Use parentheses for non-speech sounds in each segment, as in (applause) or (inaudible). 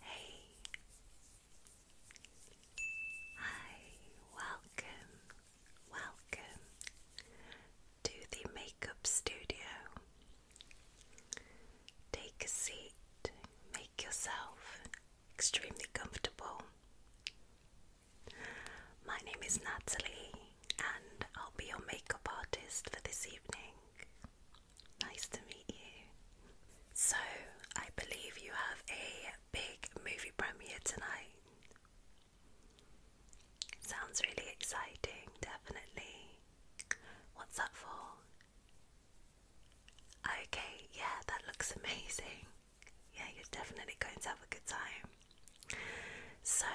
Hey, hi, welcome, welcome to the makeup studio. Take a seat, make yourself extremely comfortable. My name is Natalie, and I'll be your makeup artist for this evening. Nice to meet you. So, I believe you have a big movie premiere tonight. Sounds really exciting, definitely. What's that for? Okay, yeah, that looks (laughs) amazing. Yeah, you're definitely going to have a good time. So,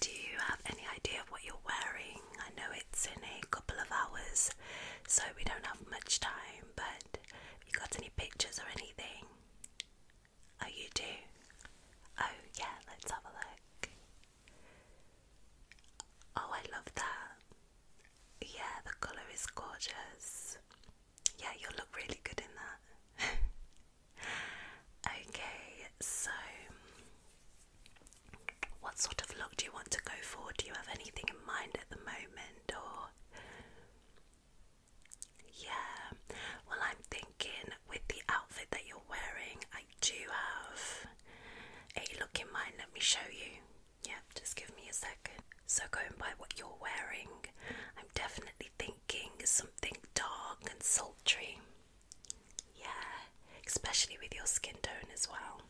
do you have any idea of what you're wearing? I know it's in a couple of hours, so we don't have much time, but have you got any pictures or anything? Oh, you do? Oh, yeah, let's have a look. Oh, I love that. Yeah, the colour is gorgeous. Yeah, you'll look really good in that. (laughs) okay, so what sort of look do you want to go for? Do you have anything in mind at the moment or yeah, well, I'm thinking with the outfit that you're wearing, I do have a look in mind. Let me show you. Yeah, just give me a second. So, going by what you're wearing, I'm definitely thinking something dark and sultry. Yeah, especially with your skin tone as well.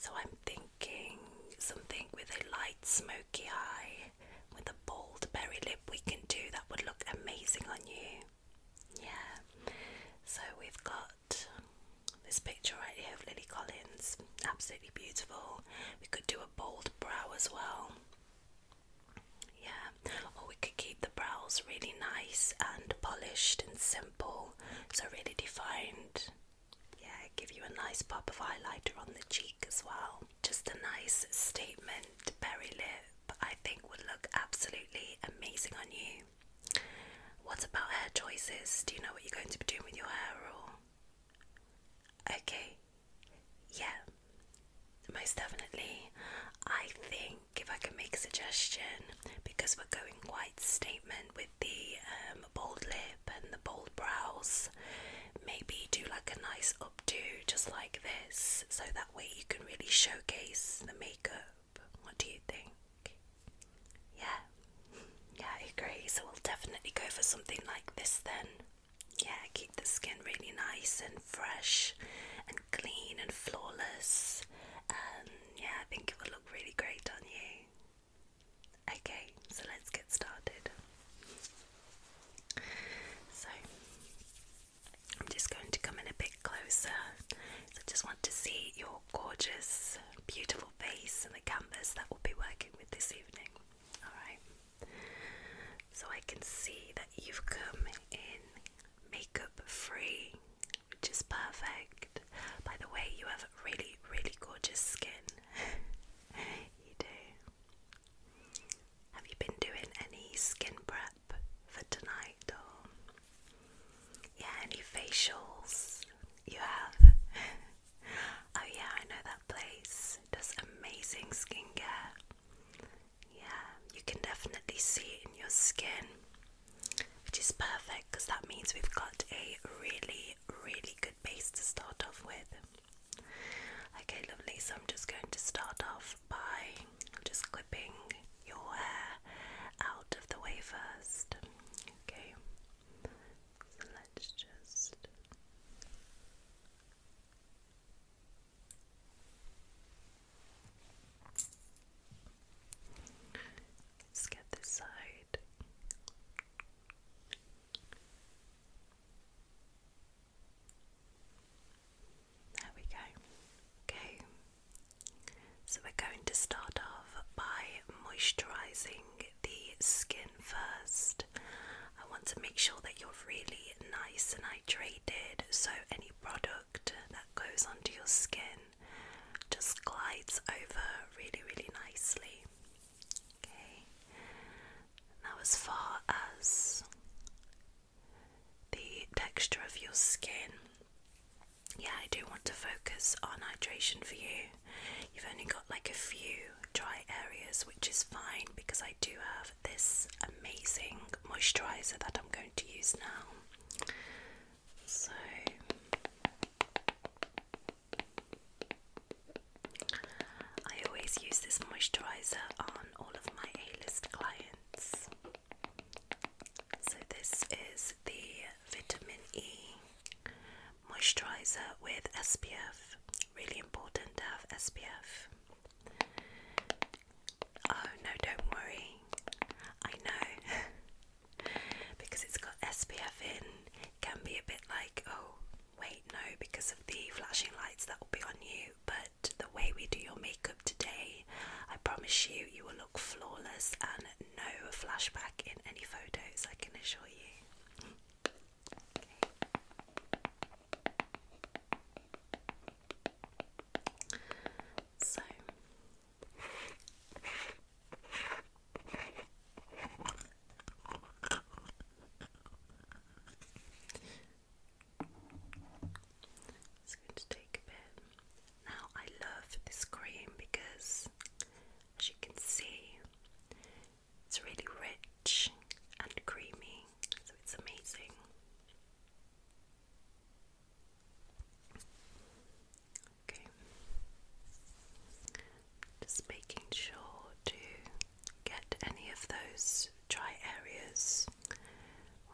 So I'm thinking something with a light smoky eye with a bold berry lip we can do that would look amazing on you. Yeah. So we've got this picture right here of Lily Collins. Absolutely beautiful. We could do a bold brow as well. Yeah or we could keep the brows really nice and polished and simple, so really defined. Yeah, give you a nice pop of highlighter on the cheek as well. Just a nice statement berry lip, I think would look absolutely amazing on you. What about hair choices? Do you know what you're going to be doing with your hair or? Okay, yeah, most definitely. I think if I can make a suggestion, because we're going quite statement with the um, bold lip and the bold brows, maybe do like a nice updo just like this, so that way you can really showcase the makeup. What do you think? Yeah, yeah, I agree. So we'll definitely go for something like this then. Yeah, keep the skin really nice and fresh and clean and flawless. Um, yeah, I think it would look really great on you. Okay, so let's get started. So, I'm just going to come in a bit closer. I just want to see your gorgeous, beautiful face and the canvas that we'll be working with this evening. Alright, so I can see that you've come in makeup free which is perfect. By the way, you have really, really gorgeous skin. (laughs) you do. Have you been doing any skin prep for tonight or yeah, any facials? You have? (laughs) oh yeah, I know that place. does amazing skincare. Yeah, you can definitely see it in your skin, which is perfect because that means we've got a really, really good base to start off with. Okay, lovely. So I'm just going to start off by just clipping your hair out of the way first. Okay, so let's just. Let's get this side. There we go. Okay. So we're going to start off by moisturizing the skin first. I want to make sure that you're really nice and hydrated so any product that goes onto your skin just glides over really, really nicely. Okay, now as far as the texture of your skin, yeah, I do want to focus on hydration for you. You've only got like a few dry areas, which is fine because I do have this amazing moisturizer that I'm going to use now. So I always use this moisturizer on all of my A-list clients. So this is the Vitamin E moisturizer with SPF. Really important to have SPF. Oh no, don't worry. I know. (laughs) because it's got SPF in, can be a bit like, oh, wait, no, because of the flashing lights that will be on you. But the way we do your makeup today, I promise you, you will look flawless and no flashback in any photos, I can assure you. So it's going to take a bit. Now, I love this cream because, as you can see, it's really rich and creamy, so it's amazing. Just making sure to get any of those dry areas. I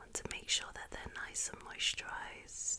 want to make sure that they're nice and moisturized.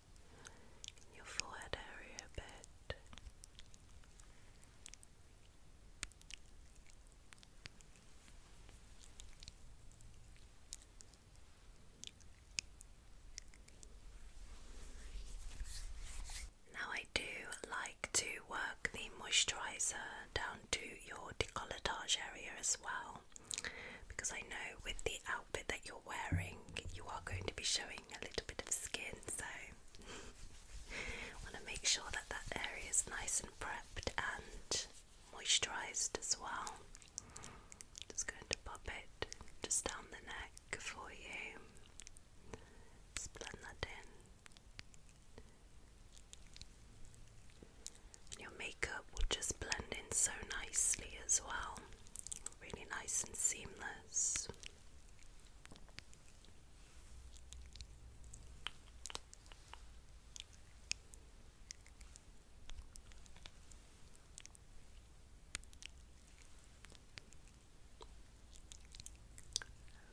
your forehead area a bit. Now, I do like to work the moisturizer down to your decolletage area as well because I know with the outfit that you're wearing, you are going to be showing a little bit of skin, so I want to make sure that that area is nice and prepped and moisturized as well. Just going to pop it just down the neck for you. Just blend that in your makeup will just blend in so nicely as well. Really nice and seamless.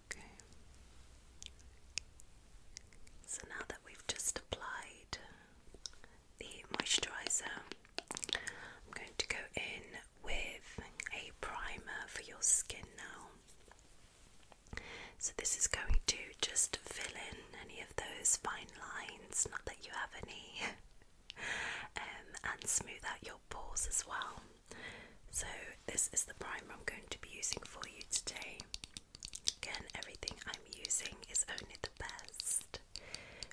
Okay. So now that we've just applied the moisturiser. I'm going to go in with a primer for your skin now. So, this is going to just fill in any of those fine lines, not that you have any, (laughs) um, and smooth out your pores as well. So, this is the primer I'm going to be using for you today. Again, everything I'm using is only the best.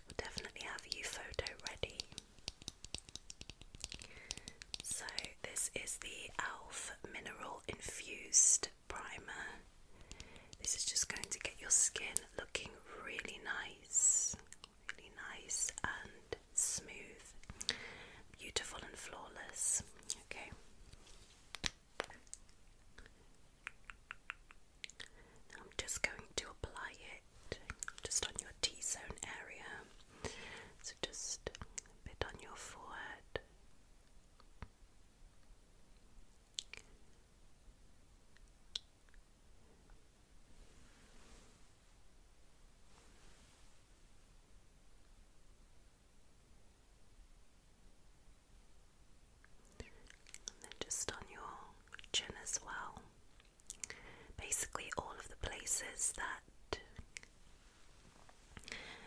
We'll definitely have you photo ready. So this is the Elf Mineral Infused Primer. This is just going to get your skin looking really nice, really nice and smooth, beautiful and flawless. Okay. I'm just going to apply it just on your T zone area. So just a bit on your forehead. And then just on your chin as well. Basically, all of the places that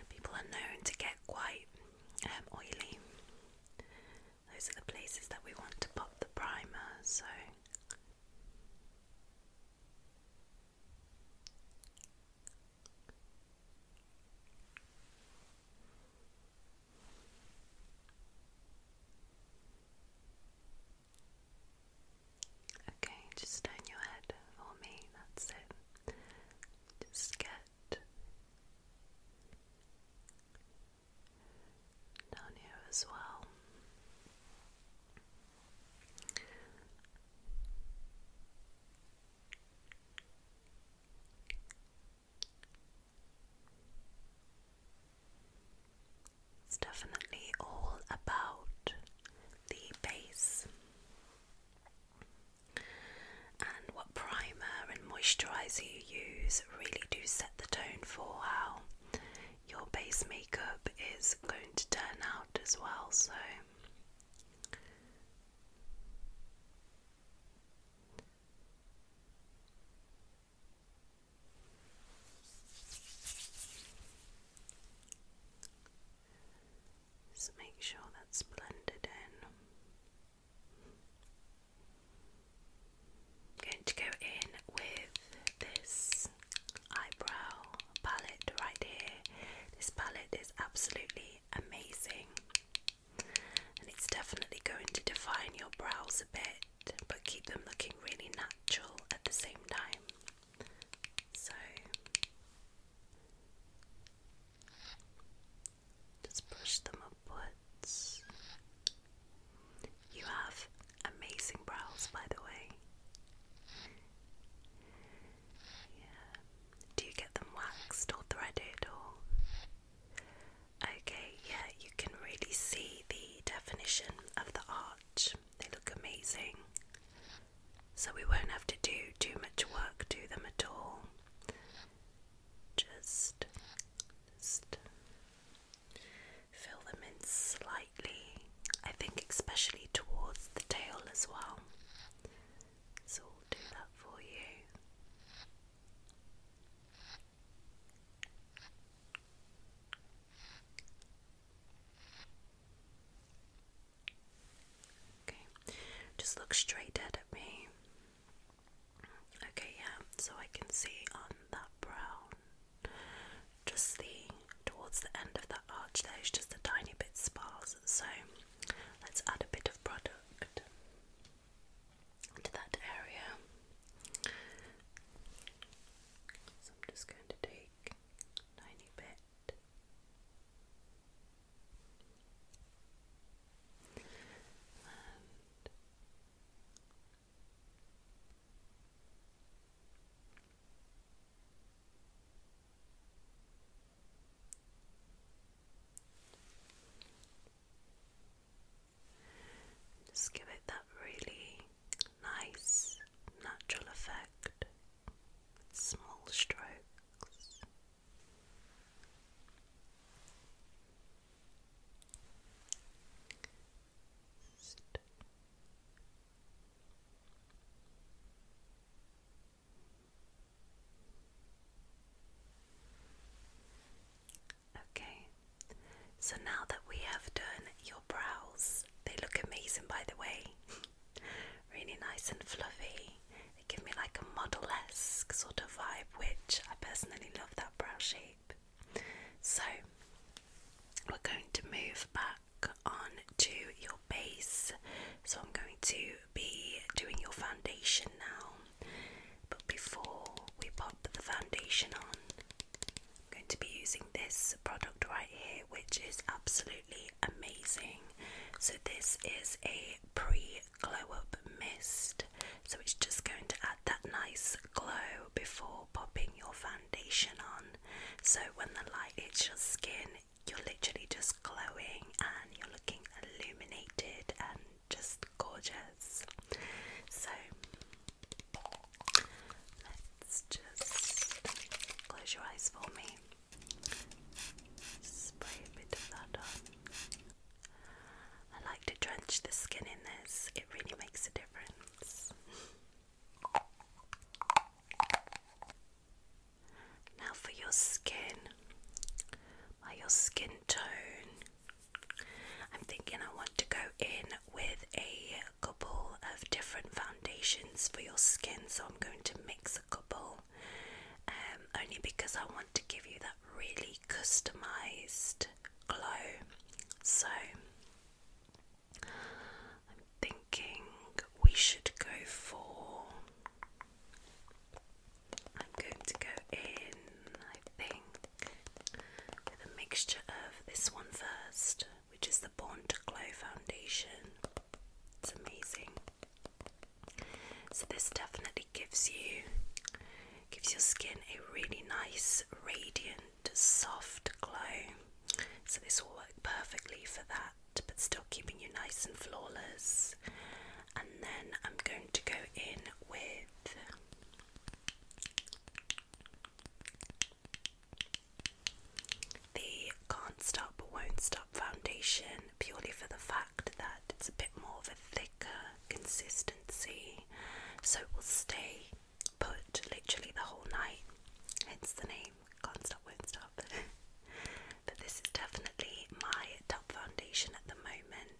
people are known to get quite um, oily. Those are the places that we want to pop the primer. So. Okay, just turn your head for me, that's it. Just get down here as well. It's definitely all about the base and what primer and moisturizer you use really do set the tone for how your base makeup is going to turn out as well so just make sure that's blended in. going to go in with this eyebrow palette right here. This palette is absolutely amazing it's definitely going to define your brows a bit but keep them looking really natural at the same time. So just brush them upwards. You have amazing brows, by the way. Do you get them waxed or threaded or? Okay, yeah, you can really see the definition of the arch. They look amazing. So we won't have to do too much work to them at all. Just, just fill them in slightly. I think especially towards the tail as well. So do that for you. Okay, just look straight dead at me. Okay, yeah, so I can see on that brown, just the towards the end of that arch there is just a tiny bit sparse. So let's add a bit of product to that area. So I'm just going to take tiny bit. Just give it that really nice natural effect with small strokes. Okay, so now that we have done your brows, they look amazing by the way. (laughs) really nice and fluffy. They give me like a model esque sort of vibe, which I personally love that brow shape. So we're going to move back on to your base. So I'm going to be doing your foundation now, but before we pop the foundation on, I'm going to be using this product right here, which is absolutely amazing. So, this is a pre glow up mist, so it's just going to add that nice glow before popping your foundation on. So, when the light hits your skin, you're literally just glowing and you're looking illuminated and just gorgeous. So let's just close your eyes for me. Spray a bit of that on. I like to drench the skin in this, it really makes a difference. Now for your skin, by your skin tone, I'm thinking I want to go in with a couple of different foundations for your skin, so I'm going to mix a couple um, only because I want to give you that really customized glow. So I'm thinking we should go for. I'm going to go in, I think, with a mixture of this one first, which is the Born to Glow foundation. It's amazing. So this definitely gives you gives your skin a really nice, radiant, soft glow. So this will work perfectly for that, but still keeping you nice and flawless and then I'm going to go in with the Can't Stop Won't Stop foundation purely for the fact that it's a bit more of a thicker consistency so it will stay put literally the whole night. Hence the name Can't Stop Won't Stop. (laughs) but this is definitely my top foundation at the moment.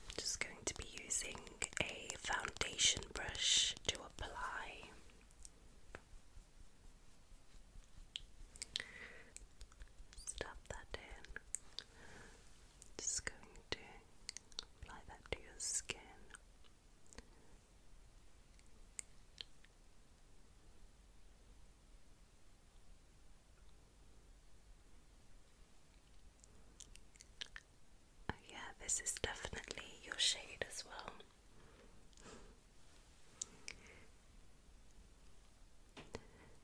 I'm just going to be using a foundation brush to apply. Stop that in. Just going to apply that to your skin. Oh, yeah, this is definitely your shade as well.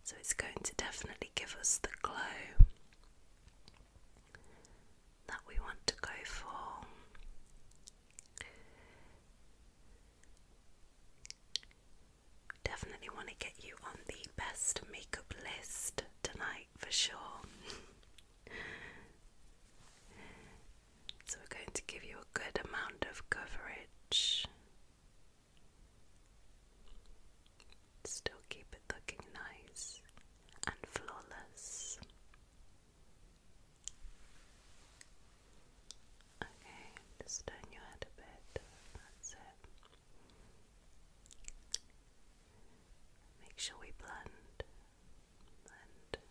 So it's going to definitely give us the glow that we want to go for. Definitely want to get you on the best makeup list tonight for sure. (laughs) so, we're going to give you a good amount of coverage. Still keep it looking nice and flawless. Okay, just turn your head a bit. That's it. Make sure we blend, blend, blend.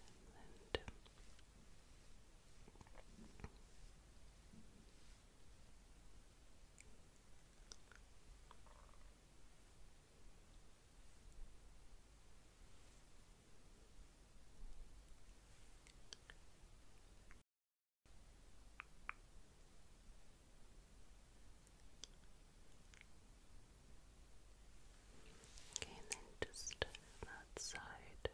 Okay, and then just that side.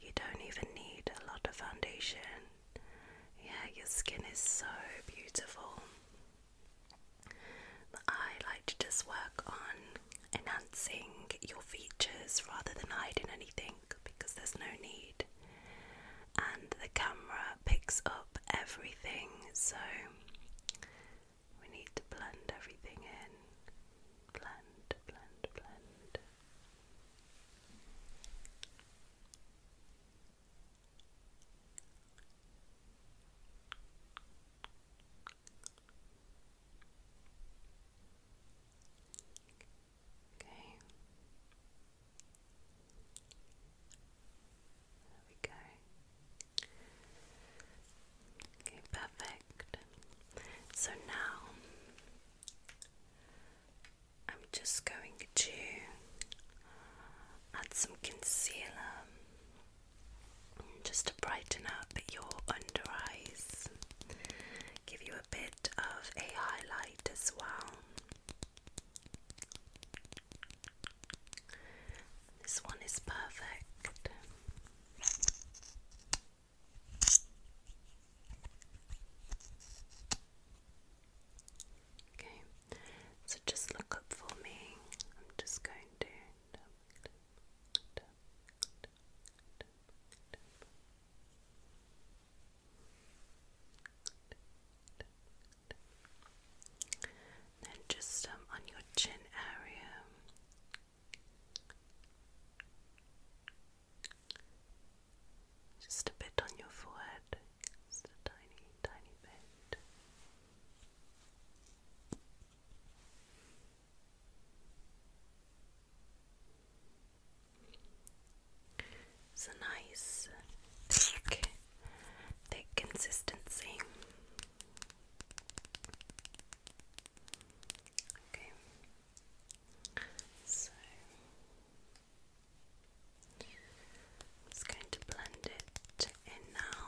You don't even need a lot of foundation. Yeah, your skin is so beautiful. I like to just work on enhancing your features rather than hiding anything because there's no need. And the camera picks up everything, so we need to blend everything in. Blend, blend, blend. Okay. There we go. Okay, perfect. So now I'm just going to add some concealer just to brighten up your under eyes, give you a bit of a highlight as well. This one is perfect. Okay, so just look up for me. I'm just going to. Then just um, on your chin area. Just a bit on your forehead. Just a tiny, tiny bit. It's a nice, thick, thick consistency. Okay, so I'm just going to blend it in now.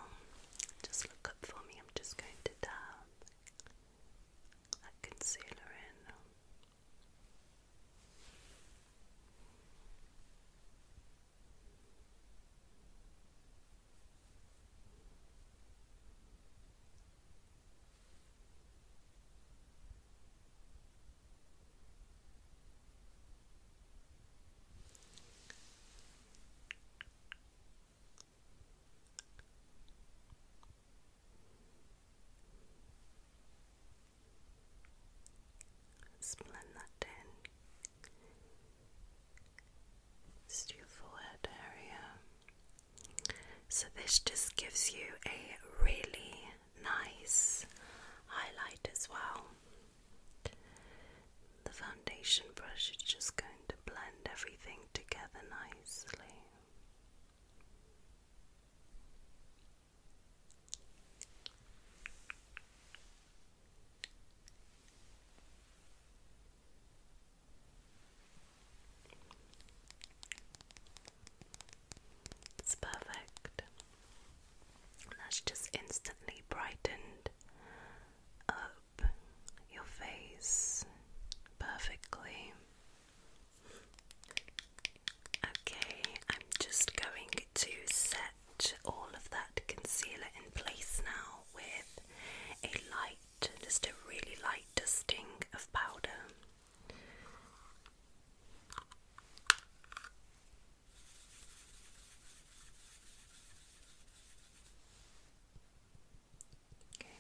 Just look up for me. I'm just going to dab that concealer in blend that in. Just your forehead area. So this just gives you a really nice highlight as well. The foundation brush is just going to blend everything together nicely. It's perfect. That's just instantly brightened up your face perfectly. Okay, I'm just going to set all of that concealer in place now with a light, just a really light dusting of powder. Okay,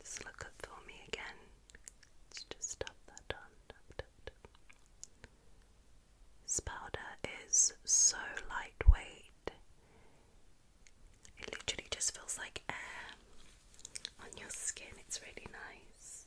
just look up for me again. Let's just tap that down. This powder is so lightweight. It literally just feels like air on your skin. It's really nice.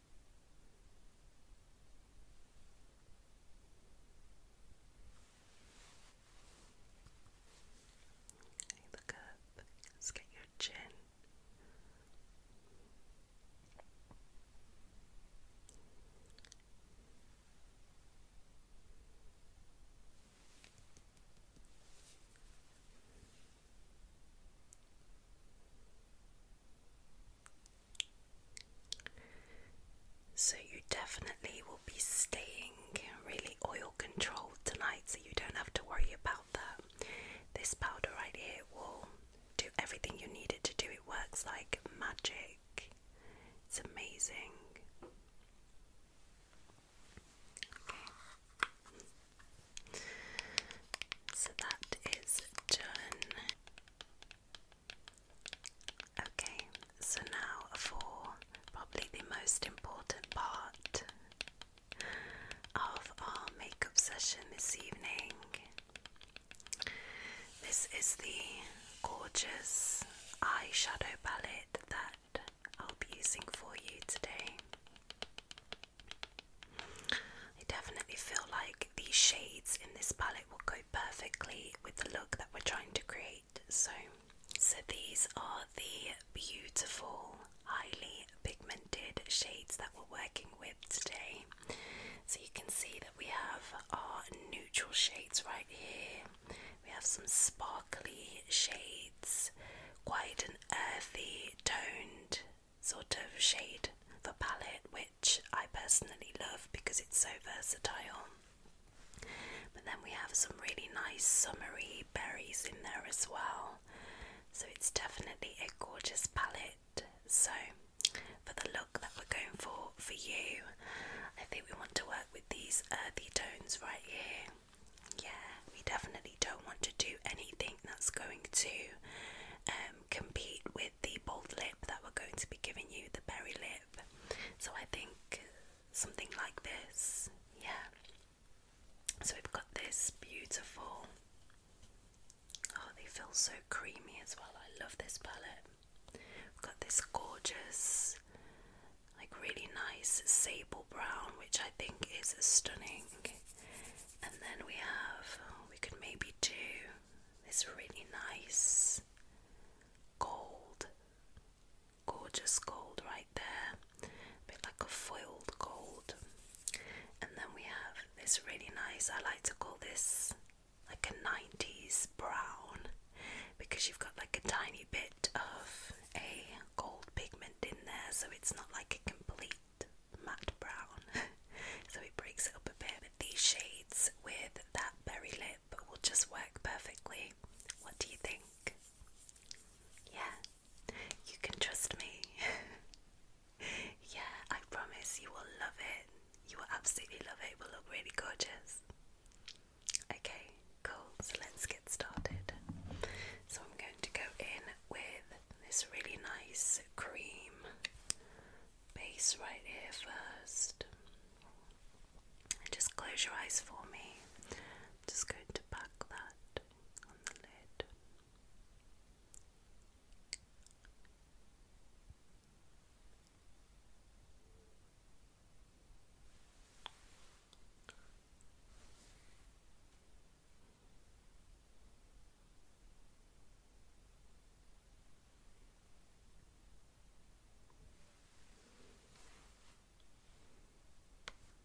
look up. Let's get your chin. So, you definitely will be staying really oil controlled tonight, so you don't have to worry about that. This powder right here will do everything you need it to do, it works like magic. It's amazing. So that is done. Okay, so now for probably the most important part of our makeup session this evening. This is the gorgeous eyeshadow palette that I'll be using for you today. I definitely feel like these shades in this palette will go perfectly with the look that we're trying to create. So, so these are the beautiful, highly pigmented shades that we're working with today. So you can see that we have our neutral shades right here. We have some sparkly shades, quite an earthy toned sort of shade for palette, which I personally love because it's so versatile. But then we have some really nice summery berries in there as well. So it's definitely a gorgeous palette. So, for the look that we're going for for you, I think we want to work with these earthy tones right here. Yeah, we definitely don't want to do anything that's going to um, compete with the bold lip that we're going to be giving you, the berry lip. So I think something like this, yeah. So we've got this beautiful. Oh, they feel so creamy as well. I love this palette. We've got this gorgeous, like really nice sable brown, which I think is stunning. And then we have, we could maybe do this really nice gold, gorgeous gold right there, a bit like a foiled gold. And then we have this really nice, I like to call this like a 90s brown because you've got like a tiny bit of a gold pigment in there, so it's not like a complete matte brown. (laughs) so it breaks it up a bit. These shades with that berry lip will just work perfectly. What do you think? Yeah, you can trust me. (laughs) yeah, I promise you will love it. You will absolutely love it. It will look really gorgeous. Okay, cool. So let's get started. So I'm going to go in with this really nice cream base right here first. just close your eyes for me. just going to pack that on the lid.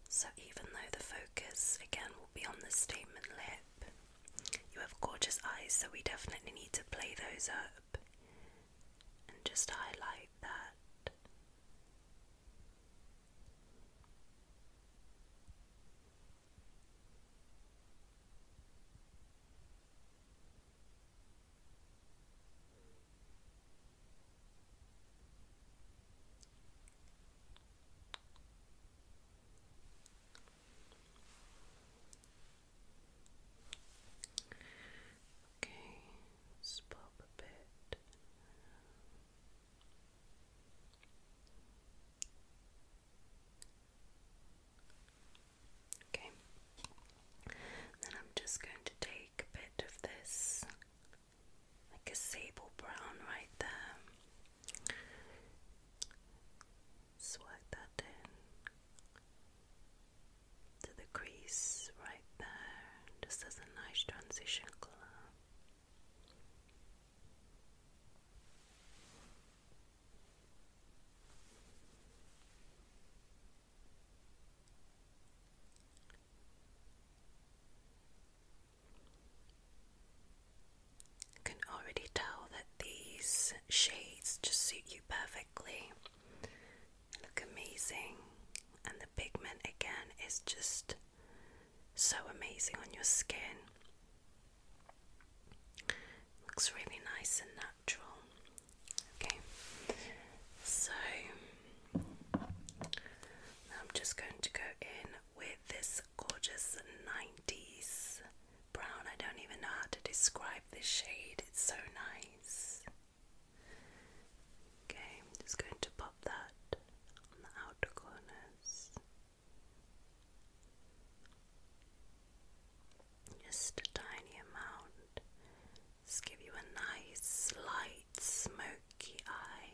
So, even though the focus again will be on the statement lip, you have gorgeous eyes, so we definitely need to play those up and just highlight that. Okay, just pop a bit. Okay. Then I'm just going to take a bit of this, like a sable brown right there. Swipe that in to the crease right there, just as a nice transition colour. You can already tell that these shades just suit you perfectly. They look amazing, and the pigment again is just so amazing on your skin. Looks really nice and natural. Okay, so I'm just going to go in with this gorgeous 90s brown. I don't even know how to describe this shade, it's so nice. Okay, I'm just going to pop that on the outer corners. Just a tiny amount. Just give you a nice, light, smoky eye.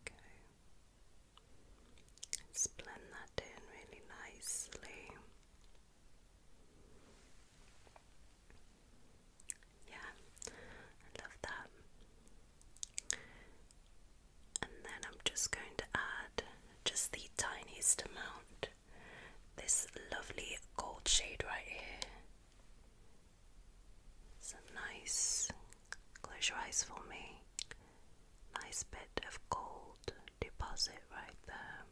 Okay. let blend that in really nicely. Yeah, I love that. And then I'm just going to add just the tiniest amount. This lovely gold shade right here. Some nice, close for me. Nice bit of gold deposit right there.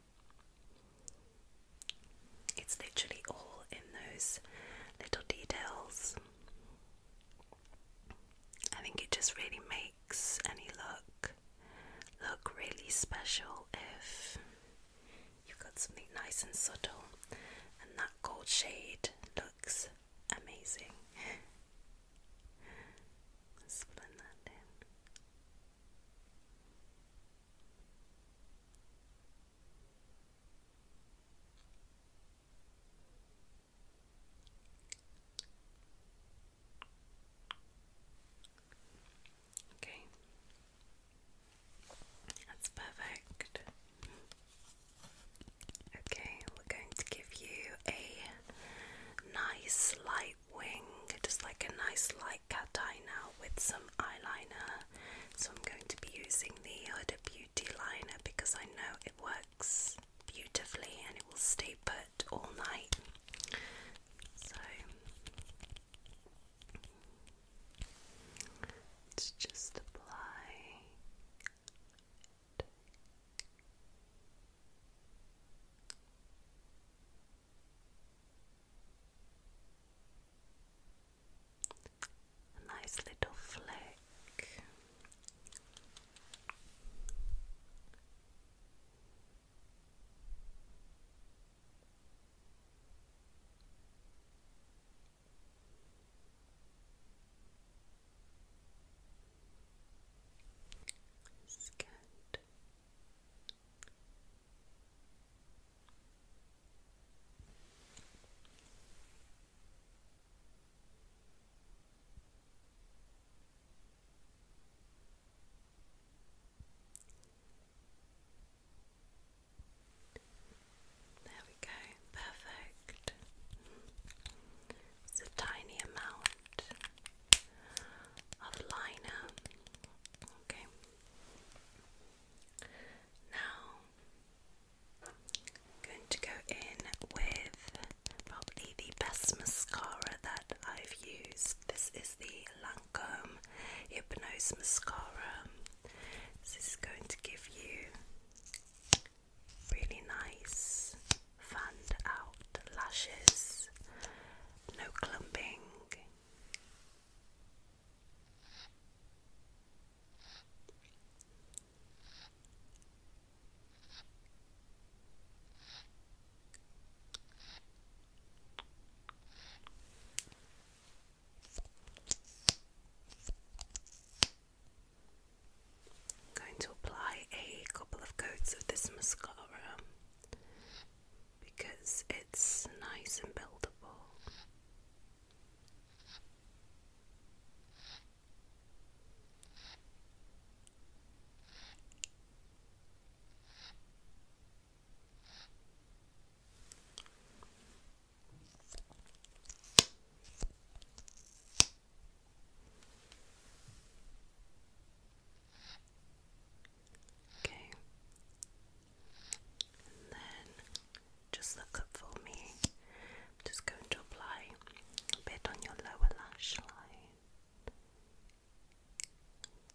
It's literally all in those little details. I think it just really makes any look look really special if you've got something nice and subtle, and that gold shade looks amazing. (laughs) let Okay, that's perfect. Okay, we're going to give you a nice light light wing, just like a nice light cat eye now with some eyeliner. So I'm going to be using the Huda Beauty liner because I know it works beautifully and it will stay put all night. So let's just apply. A nice little flick. good. There we go, perfect. It's a tiny amount of liner. Okay. Now, going to go in with probably the best mascara that I've used. This is the Lancome Hypnose Mascara. This is going to give you really nice, fanned out lashes, no clumping, I'm going to apply a couple of coats of this mascara because it's nice and buildable. Okay. And then just look up for me. just going to apply a bit on your lower lash line.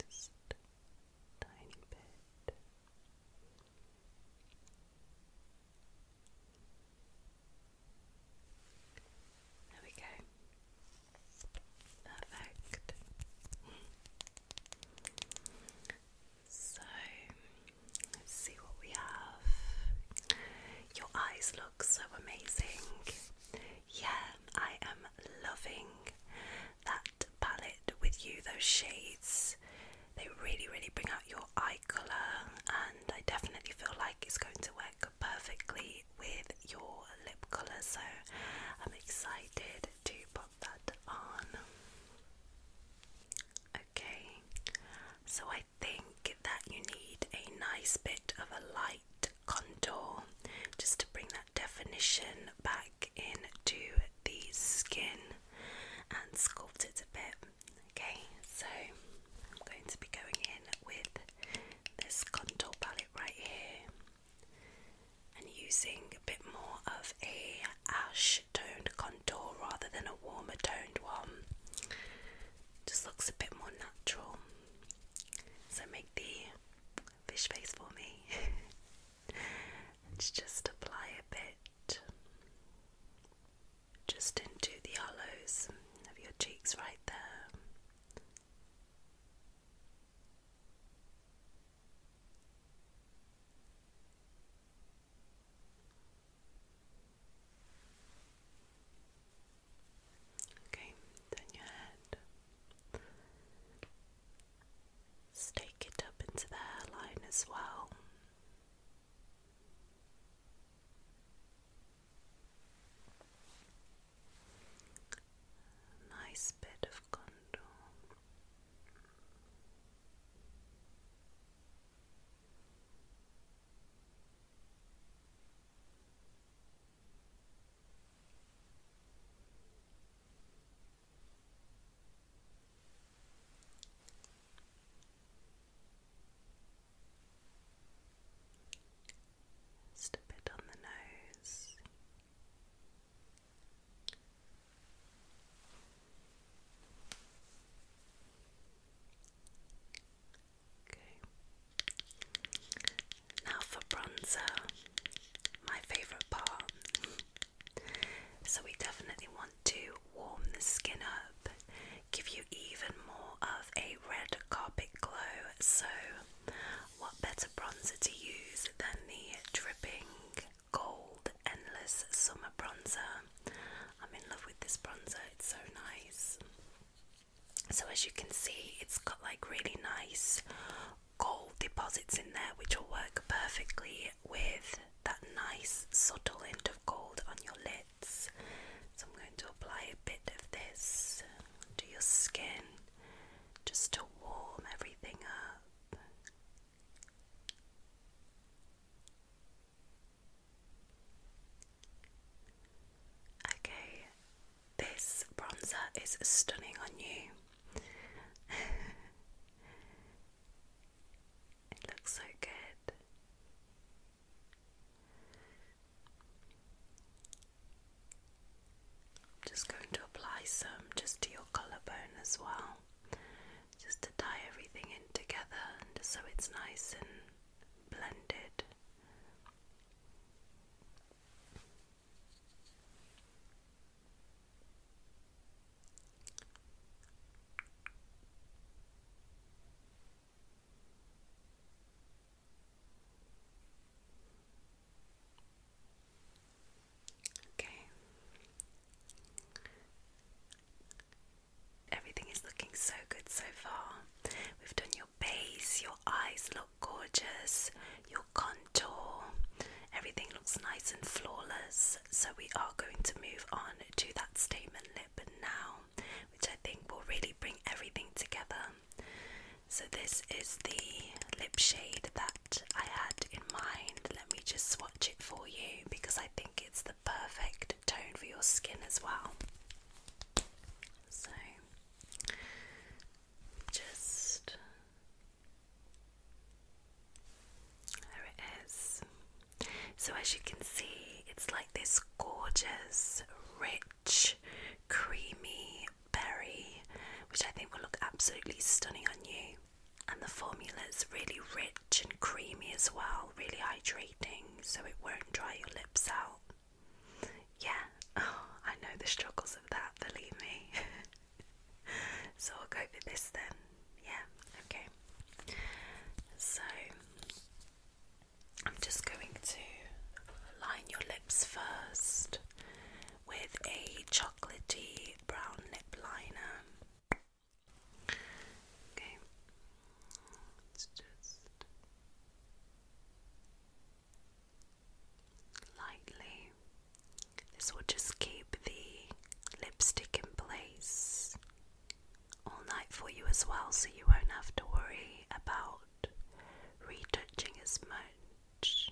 Just tiny bit. There we go. Perfect. So let's see what we have. Your eyes look so amazing. Yeah, I am loving that palette with you, those shades. They really, really bring out your eye colour, and I definitely feel like it's going to work perfectly with your lip colour. So I'm excited to pop that on. Okay, so I think that you need a nice bit of a light contour just to bring that definition back into the skin and sculpt it a bit. Okay, so I'm going to be going in with this contour palette right here and using a bit more of a ash toned contour rather than a warmer toned one just looks a bit more natural so make the fish face for me (laughs) just apply a bit just into the hollows of your cheeks right there Okay, turn your head. Stake it up into the hairline as well nice bit of contour. Just a bit on the nose. Okay. Now for bronzer, my favourite part. so, we definitely want to warm the skin up, give you even more of a red carpet glow. So, what better bronzer to use than the dripping gold endless summer bronzer? I'm in love with this bronzer, it's so nice. So, as you can see, it's got like really nice gold deposits in there, which will work perfectly with that nice subtle hint of gold on your lids. So, I'm going to apply a bit of this to your skin just to warm everything up. Okay, this bronzer is stunning on you. (laughs) it looks so good just going to apply some just to your collarbone as well, just to tie everything in together and so it's nice and blended. Okay. Everything is looking so good so far. We've done your base, your eyes look gorgeous, your contour, everything looks nice and flawless. So, we are going to move on to that statement lip now, which I think will really bring everything together. So this is the lip shade that I had in mind. Let me just swatch it for you because I think it's the perfect tone for your skin as well. So just there it is. So as you can see, it's like this gorgeous, rich, creamy, berry, which I think will look absolutely stunning on you. And the formula is really rich and creamy as well, really hydrating, so it won't dry your lips out. Yeah, (laughs) oh, I know the struggles of that, believe me. (laughs) so I'll go for this then. Yeah, okay. So I'm just going to line your lips first with a chocolatey brown lip liner. Okay, let's just lightly. This will just keep the lipstick in place all night for you as well, so you won't have to worry about retouching as much.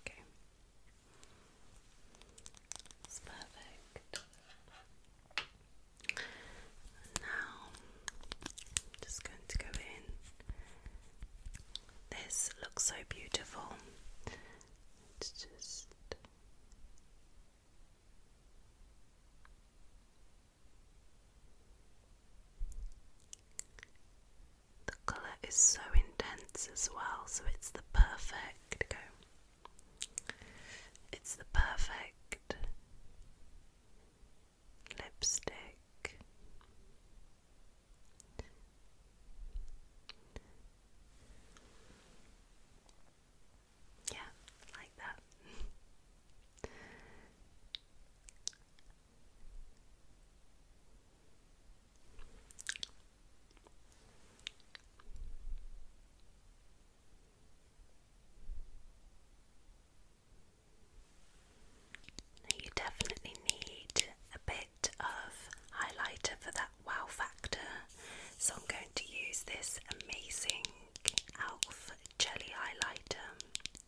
Okay. That's perfect. now just going to go in. This looks so beautiful. It's just the colour is so intense as well, so it's the perfect It's the perfect lipstick. Yeah, like that you definitely need a bit of highlighter for that wow factor, so I'm going to use this amazing ELF jelly highlighter.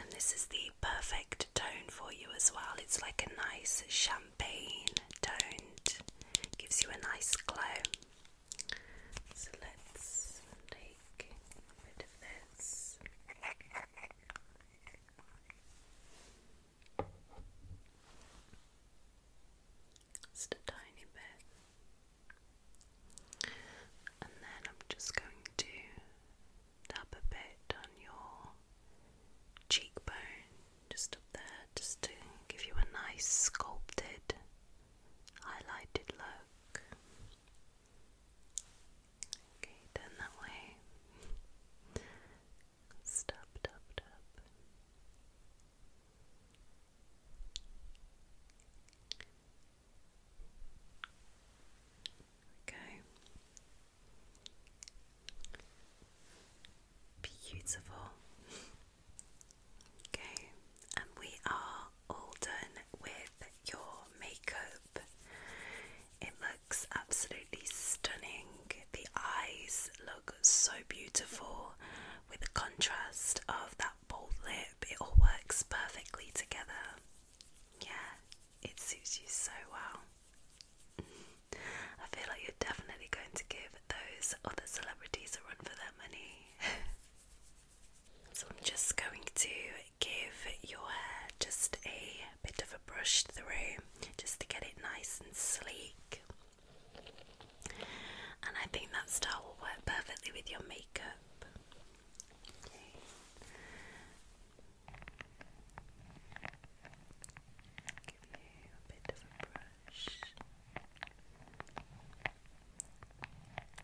And this is the perfect tone for you as well. It's like a nice champagne tone. gives you a nice glow. So let's take a bit of this. Just a tiny bit. And then I'm just going to up a bit on your cheekbone, just up there, just to give you a nice sculpted, highlighted look. Okay, turn that way. Stop, tap, tap. Okay. Beautiful. Okay, and we are all done with your makeup. It looks absolutely stunning. The eyes look so beautiful with the contrast of that bold lip. It all works perfectly together. Yeah, it suits you so well. I feel like you're definitely going to give those other celebrities a run for their money. (laughs) so I'm just going to give your hair just a bit of a brush through just to get it nice and sleek. And I think that style will work perfectly with your makeup.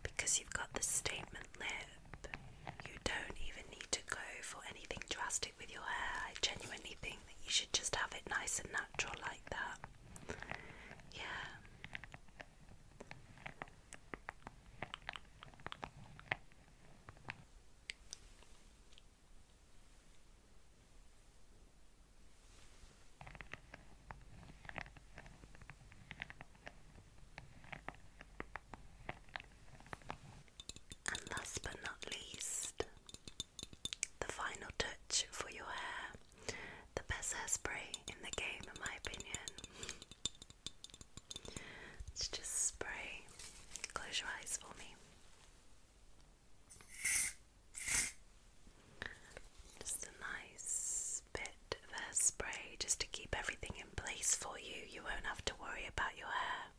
Because you've got the statement lip, you don't even need to go for anything drastic with your hair. I genuinely think that you should just have it nice and natural like that. Yeah. And last but not least, the final touch for your hair. The best hairspray in the game, in my opinion. Let's just spray. Close your eyes for me. Just a nice bit of hairspray just to keep everything in place for you. You won't have to worry about your hair.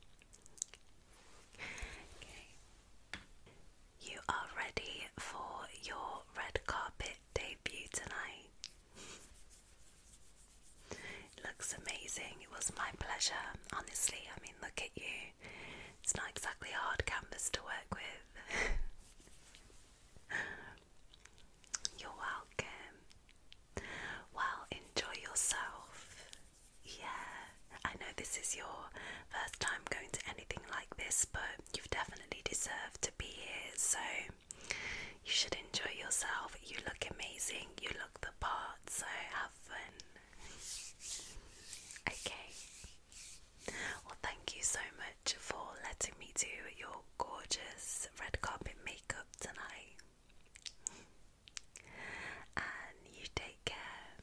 You are ready for your red carpet debut tonight. (laughs) It looks amazing. It was my pleasure, honestly. I mean, look at you. It's not exactly hard canvas to work with. (laughs) You're welcome. Well, enjoy yourself. Yeah, I know this is your first time going to anything like this, but you've definitely deserved to be here. So you should enjoy yourself. You look amazing. You look the part. So have fun. Okay. Well, thank you so much for letting me do your gorgeous red carpet makeup tonight. And you take care.